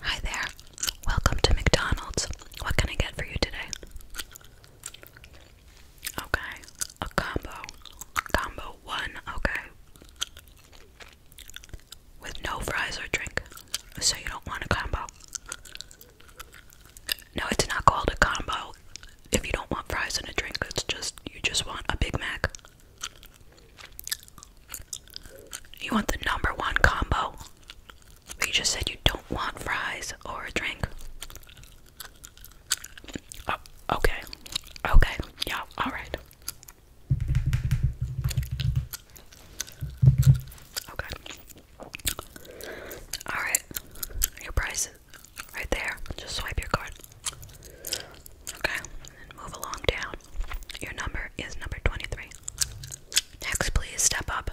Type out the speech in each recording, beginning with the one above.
Hi there. Welcome to McDonald's. What can I get for you today? Okay. A combo. Combo one. Okay. With no fries or drink. So you don't want a combo. No, it's not called a combo. If you don't want fries and a drink, it's just you just want a Big Mac. You want the number one combo? you just said you don't want fries or a drink. Oh, okay. Okay. Yeah, alright. Okay. Alright. Your price right there. Just swipe your card. Okay, move along down. Your number is number 23. Next, please step up.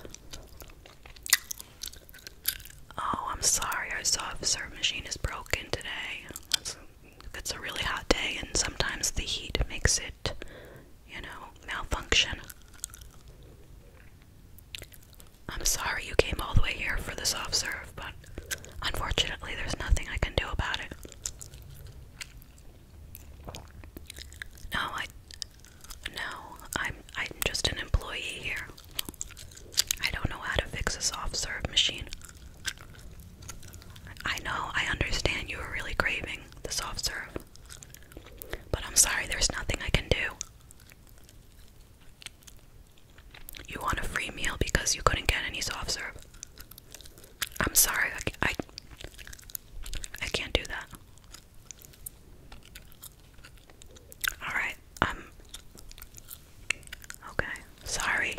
Oh, I'm sorry, our soft serve machine is broken today. That's, it's a really hot day, and sometimes the heat makes it, you know, malfunction. I'm sorry you came all the way here for the soft serve, but Unfortunately, there's nothing I can do about it. No, I no, I'm I'm just an employee here. I don't know how to fix a soft serve machine. I know, I understand you were really craving the soft serve. But I'm sorry, there's nothing I can do. You want a free meal because you couldn't get any soft serve. I'm sorry, I, I, can't do that. Alright, um. Okay, sorry.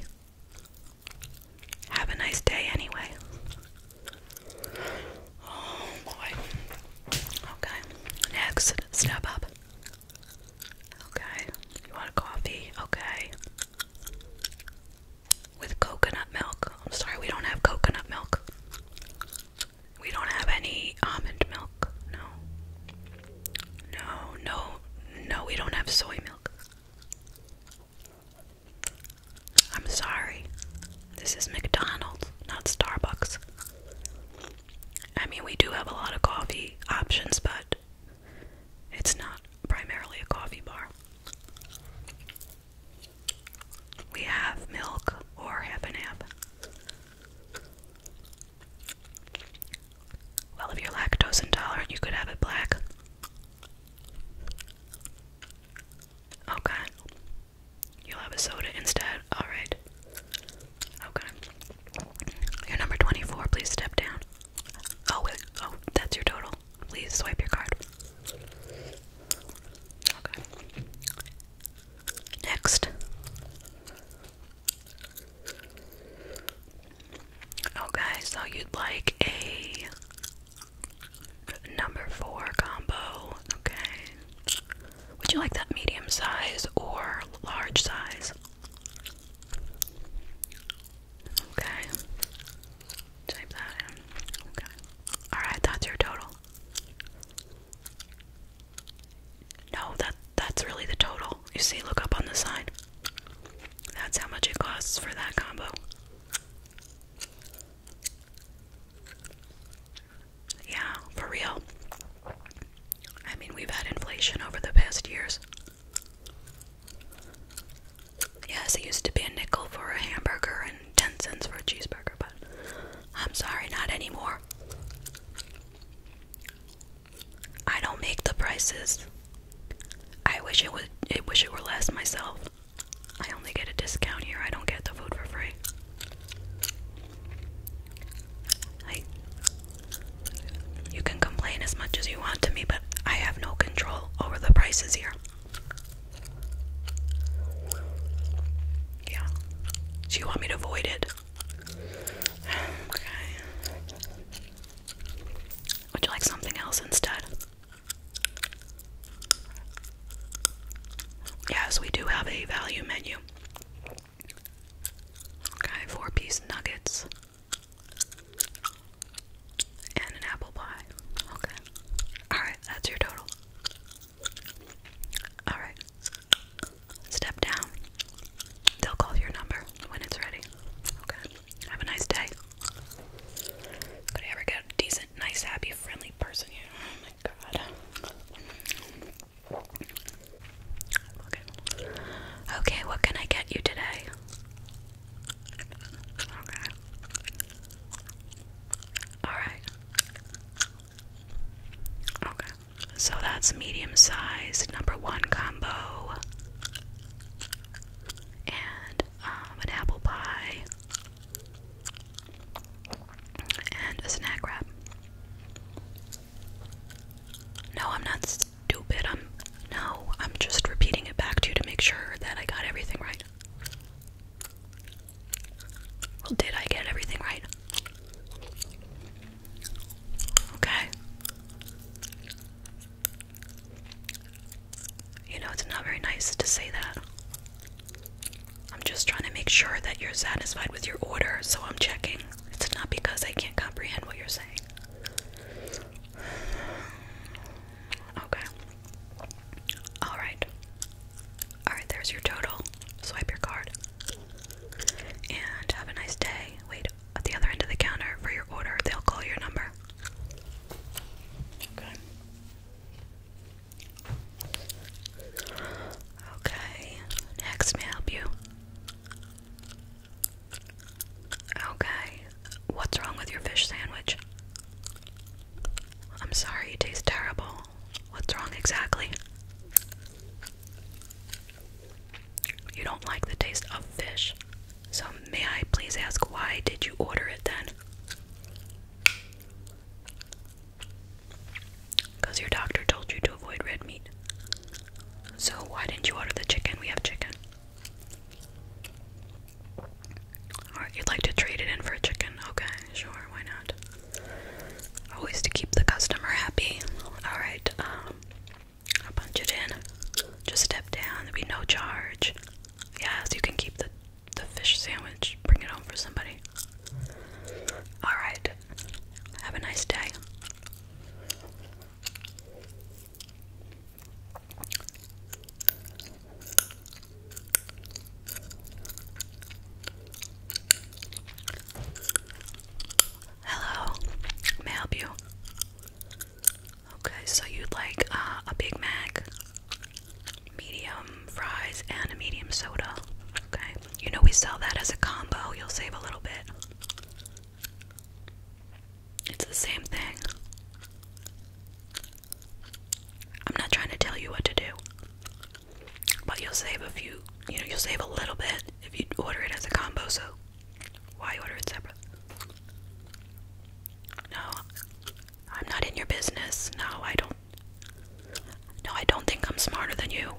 Have a nice day anyway. Oh boy. Okay, next, step up. Okay, you want coffee? Okay with coconut milk. I'm sorry, we don't have coconut milk. We don't have any almond milk. No. No, no, no, we don't have soy milk. I'm sorry. This is McDonald's, not Starbucks. I mean, we do have a lot of coffee options, but it's not primarily a coffee bar. We have milk or half and half. Well, if you're lactose intolerant, you could have it black. Okay. You'll have a soda instead. Alright. Okay. Your number 24. Please step down. Oh, wait. Oh, that's your total. Please swipe your card. Okay. Next. Okay, oh, so you'd like a number four combo. Okay. Would you like that medium size or large size? Okay. Type that in. Okay. Alright, that's your total. No, that that's really the total. You see, look up on the side. That's how much it costs for that combo. Yeah, for real. I mean, we've had inflation over the past years. Yes, it used to be a nickel for a hamburger and 10 cents for a cheeseburger, but I'm sorry, not anymore. I don't make the prices. I wish it would I wish it were less myself. I only get a discount here. I don't get the food for free. I you can complain as much as you want to me, but I have no control over the prices here. Yeah. Do you want me to void it? Okay. Would you like something else instead? Yes, we do have a value menu. Okay, four piece nuggets and an apple pie. Okay. Alright, that's your total. Alright. Step down. They'll call your number when it's ready. Okay. Have a nice day. Could ever get a decent, nice, happy, friendly person here? Oh my god. Okay. Okay, what can I get you today? Okay. Alright. Okay. So that's medium size, number one combo. And um, an apple pie. And a snack wrap. No, I'm not stupid. I'm no, I'm just repeating it back to you to make sure that I got everything right. Well, did I get everything right? Okay. You know, it's not very nice to say that. I'm just trying to make sure that you're satisfied with your order, so I'm checking. It's not because I can't comprehend what you're saying. Okay. Alright. Alright, there's your total. Swipe your card. And have a nice day. Wait at the other end of the counter for your order. They'll call your number. Okay. Okay. Next, may I help you? Okay. What's wrong with your fish sandwich? I'm sorry, it tastes terrible. What's wrong exactly? You don't like the taste of fish. So, may I please ask why did you order it then? Because your doctor told you to avoid red meat. So, why didn't you order the chicken? We have chicken. Alright, you'd like to trade it in for a chicken? Okay, sure, why not? Always to keep the customer happy. Alright, um, I'll punch it in. Just step down, there'll be no charge. Yes, you can keep the, the fish sandwich, bring it home for somebody. Alright, have a nice day. Hello, may I help you? Okay, so you'd like uh, a Big Mac, medium fries, and a medium soda. Okay, you know we sell that as a combo, you'll save a little bit. It's the same thing. I'm not trying to tell you what to do. But you'll save a few, you know, you'll save a little bit if you order it as a combo, so why order it separate? No, I'm not in your business. No, I don't. No, I don't think I'm smarter than you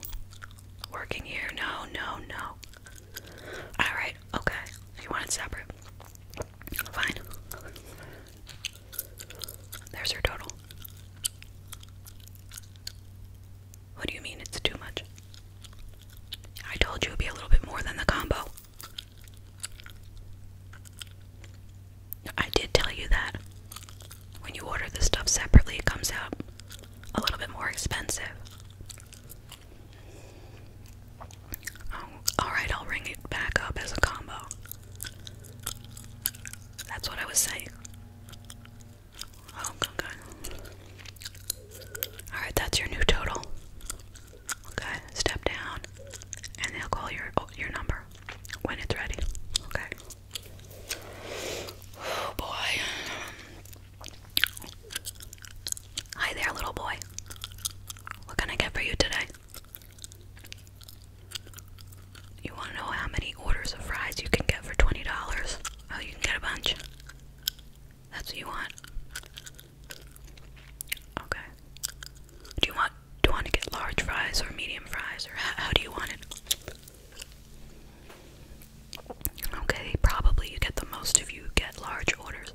working here. No, no, no. Alright, okay. You want it separate? Fine. There's your total. What do you mean it's too much? I told you it'd be a little bit more than the combo. I did tell you that. When you order the stuff separately, it comes out a little bit more expensive. Oh, alright, I'll ring it back up as a combo. That's what I was saying. Oh, okay. Alright, that's your new total. Okay, step down, and they'll call your oh, your number when it's ready. Okay. Oh boy. Hi there, little boy. What can I get for you today? You want to know how many orders of fries you can get for $20? Oh, you can get a bunch. That's what you want. Okay. Do you want do you want to get large fries or medium fries or how, how do you want it? Okay, probably you get the most if you get large orders.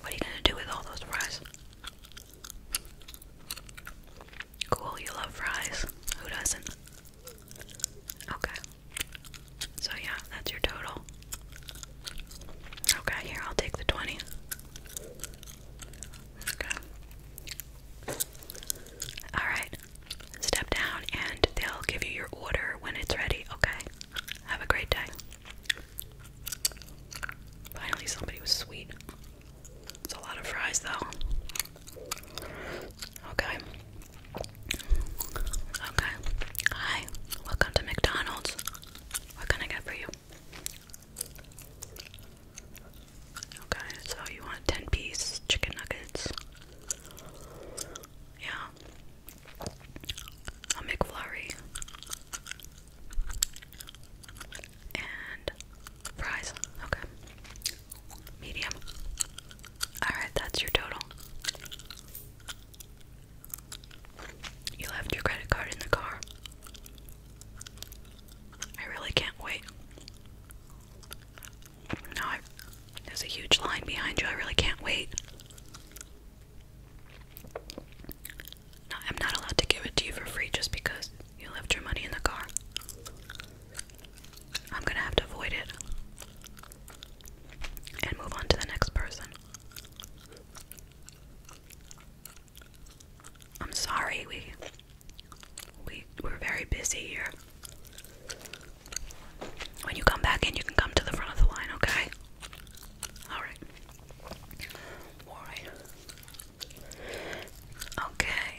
What are you gonna do with all those fries? Cool, you love fries. Who doesn't? Okay. So, yeah, that's your total. Okay, here, I'll take the 20. Okay. Alright, step down and they'll give you your order when it's ready, okay? Have a great day. Finally, somebody was sweet. It's a lot of fries, though. Okay. Okay. Hi. Welcome to McDonald's. What can I get for you? Okay, so you want 10 piece chicken nuggets. Yeah. A McFlurry. And fries. Okay. Medium. Alright, that's your total. You left your credit card in the car. I really can't wait. No, there's a huge line behind you. I really can't wait. I'm not allowed to give it to you for free just because you left your money in the car. I'm gonna have to avoid it and move on to the next person. I'm sorry, we we we're very busy here. When you come back in, you can come to the front of the line, okay? All right. All right. Okay.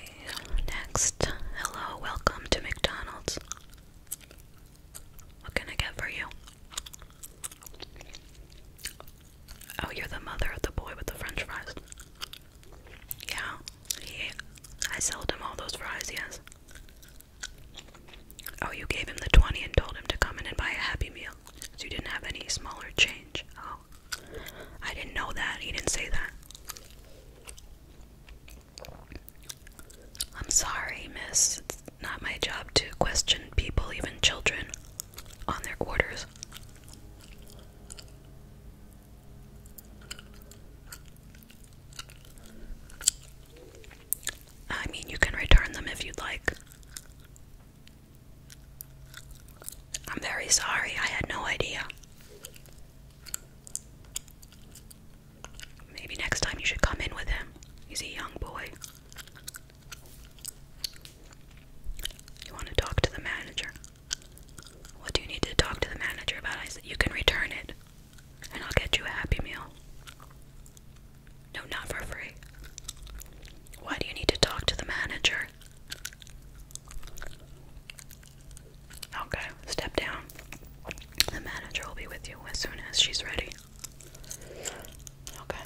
Next. Hello, welcome to McDonald's. What can I get for you? Oh, you're the mother of the boy with the french fries. Yeah, he. I sold him all those fries. Yes. Oh, you gave him the twenty and told him to come in and buy a happy meal. you didn't have any smaller change. Oh, I didn't know that. He didn't say that. I'm sorry, miss. It's not my job to question people, even children, on their orders. I mean, you can return them if you'd like. I'm very sorry, I had no idea. Maybe next time you should come in with him. He's a young boy. You want to talk to the manager? What do you need to talk to the manager about? I said, You can return it, and I'll get you a Happy Meal. No, not for free. Why do you need to talk to the manager? Okay, step down. The manager will be with you as soon as she's ready. Okay.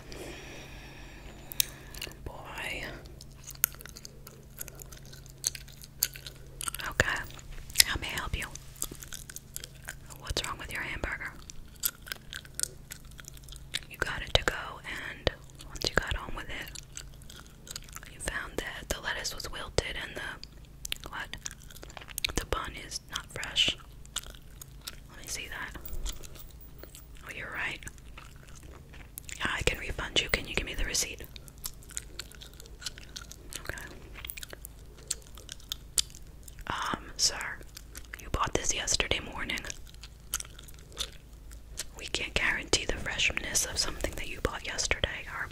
Boy. Okay. How may help you? What's wrong with your hamburger? You got it to go, and once you got on with it, you found that the lettuce was wilted and the what? The bun is not fresh. Let me see that. Oh, you're right. I can refund you. Can you give me the receipt? Okay. Um, sir, you bought this yesterday morning. We can't guarantee the freshness of something that you bought yesterday. Our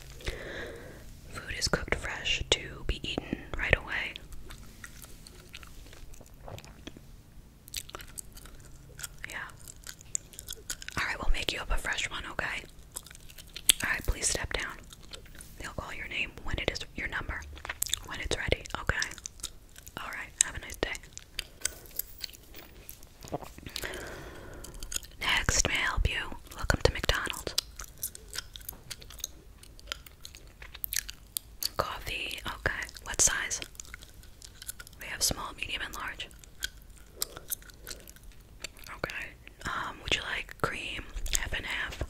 food is cooked fresh to be eaten right away. Yeah. Alright, we'll make you up a fresh one, okay? Alright, please step down. They'll call your name when it is your number, when it's ready, okay? Alright, have a nice day. Next, may I help you? Welcome to McDonald's. Coffee, okay. What size? We have small, medium, and large. Okay. Um, would you like cream, half and half,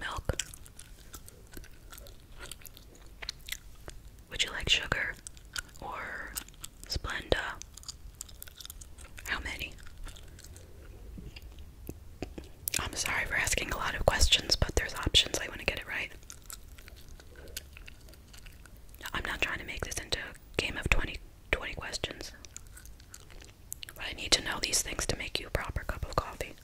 milk? Would you like sugar or Splenda? How many? I'm sorry for asking a lot of questions, but there's options. I want to get it right. I'm not trying to make this into a game of 20, 20 questions. But I need to know these things to make you a proper cup of coffee.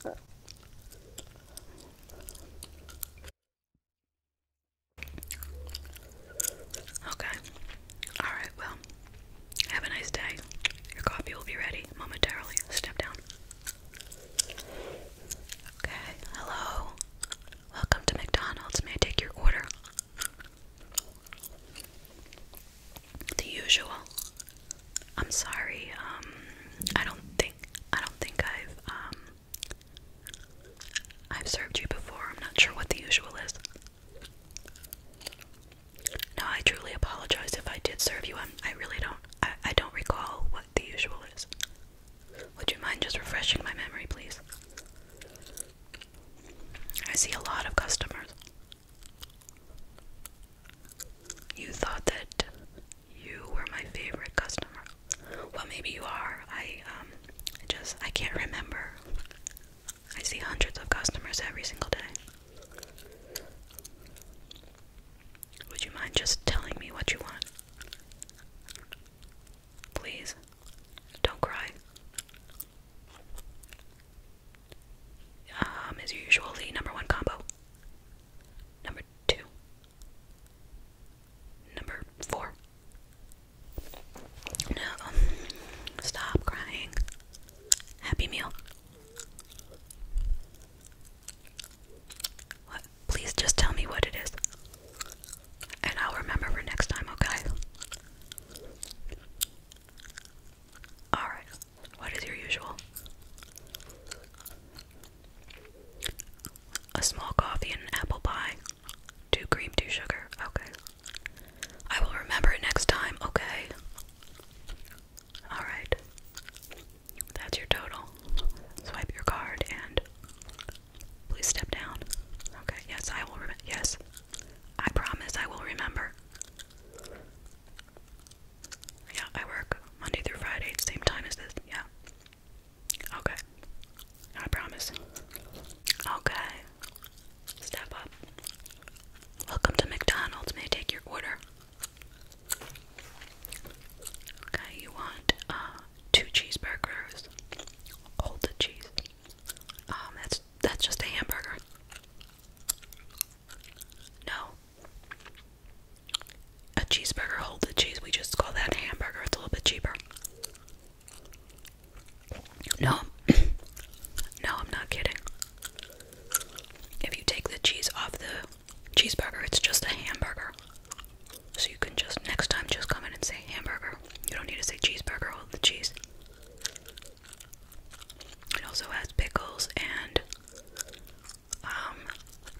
Okay. Alright, well, have a nice day. Your coffee will be ready momentarily. Step down. Okay, hello. Welcome to McDonald's. May I take your order? The usual. I'm sorry. Um, I don't think I don't think I've um I've served you before. I'm not sure what the usual is. No, I truly apologize if I did serve you. i I really don't. I, I don't recall what the usual is. Would you mind just refreshing my memory, please? I see a lot of customers. You thought that you were my favorite customer. Well, maybe you are. I um just I can't remember. I see hundreds of customers every single day. Would you mind just telling me what you want? Please. Don't cry. Um, is usually number one combo. Number two. Number four. No, stop crying. Happy meal. What? Please just tell me what it is. And I'll remember for next time, okay? Alright, what is your usual? A small coffee and apple pie. Two cream, two sugar. Okay. I will remember it next time, okay? Alright. That's your total. Swipe your card and Please step down. Okay, yes, I will Yes, I promise I will remember. Yeah, I work Monday through Friday, same time as this. Yeah. Okay. I promise. Okay. Step up. Welcome to McDonald's. May I take your order? Okay, you want uh two cheeseburgers, hold the cheese. Um, that's that's just a hamburger. No. A cheeseburger, hold the cheese. We just call that a hamburger. It's a little bit cheaper. No. no, I'm not kidding. If you take the cheese off the cheeseburger, it's just a hamburger. So you can just next time just come in and say hamburger. You don't need to say cheeseburger or the cheese. It also has pickles and um,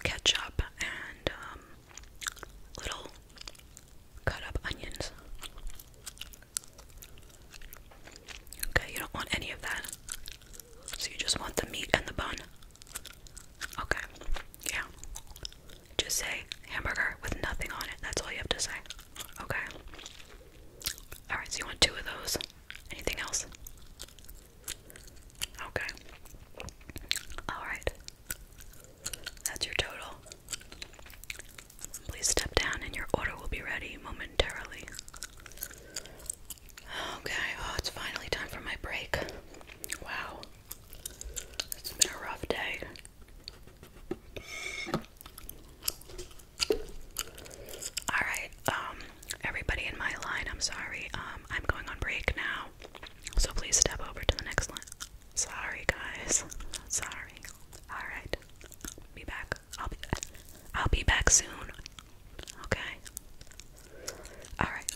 ketchup and um, little cut up onions. Okay, you don't want any of that. So you just want the meat and the bun. Okay. Yeah. Just say hamburger with nothing on it. That's all you have to say. Okay. Alright, so you want two of those? Anything else? Okay. Alright. That's your total. Please step down and your order will be ready momentarily. Okay, oh, it's finally time for my break. Wow. It's been a rough day. Alright, um, everybody in my line, I'm sorry. Um, I'm going on break now. So please step over to the next line. Sorry guys. Sorry. Alright. Be back. I'll be back. I'll be back soon. Okay. Alright.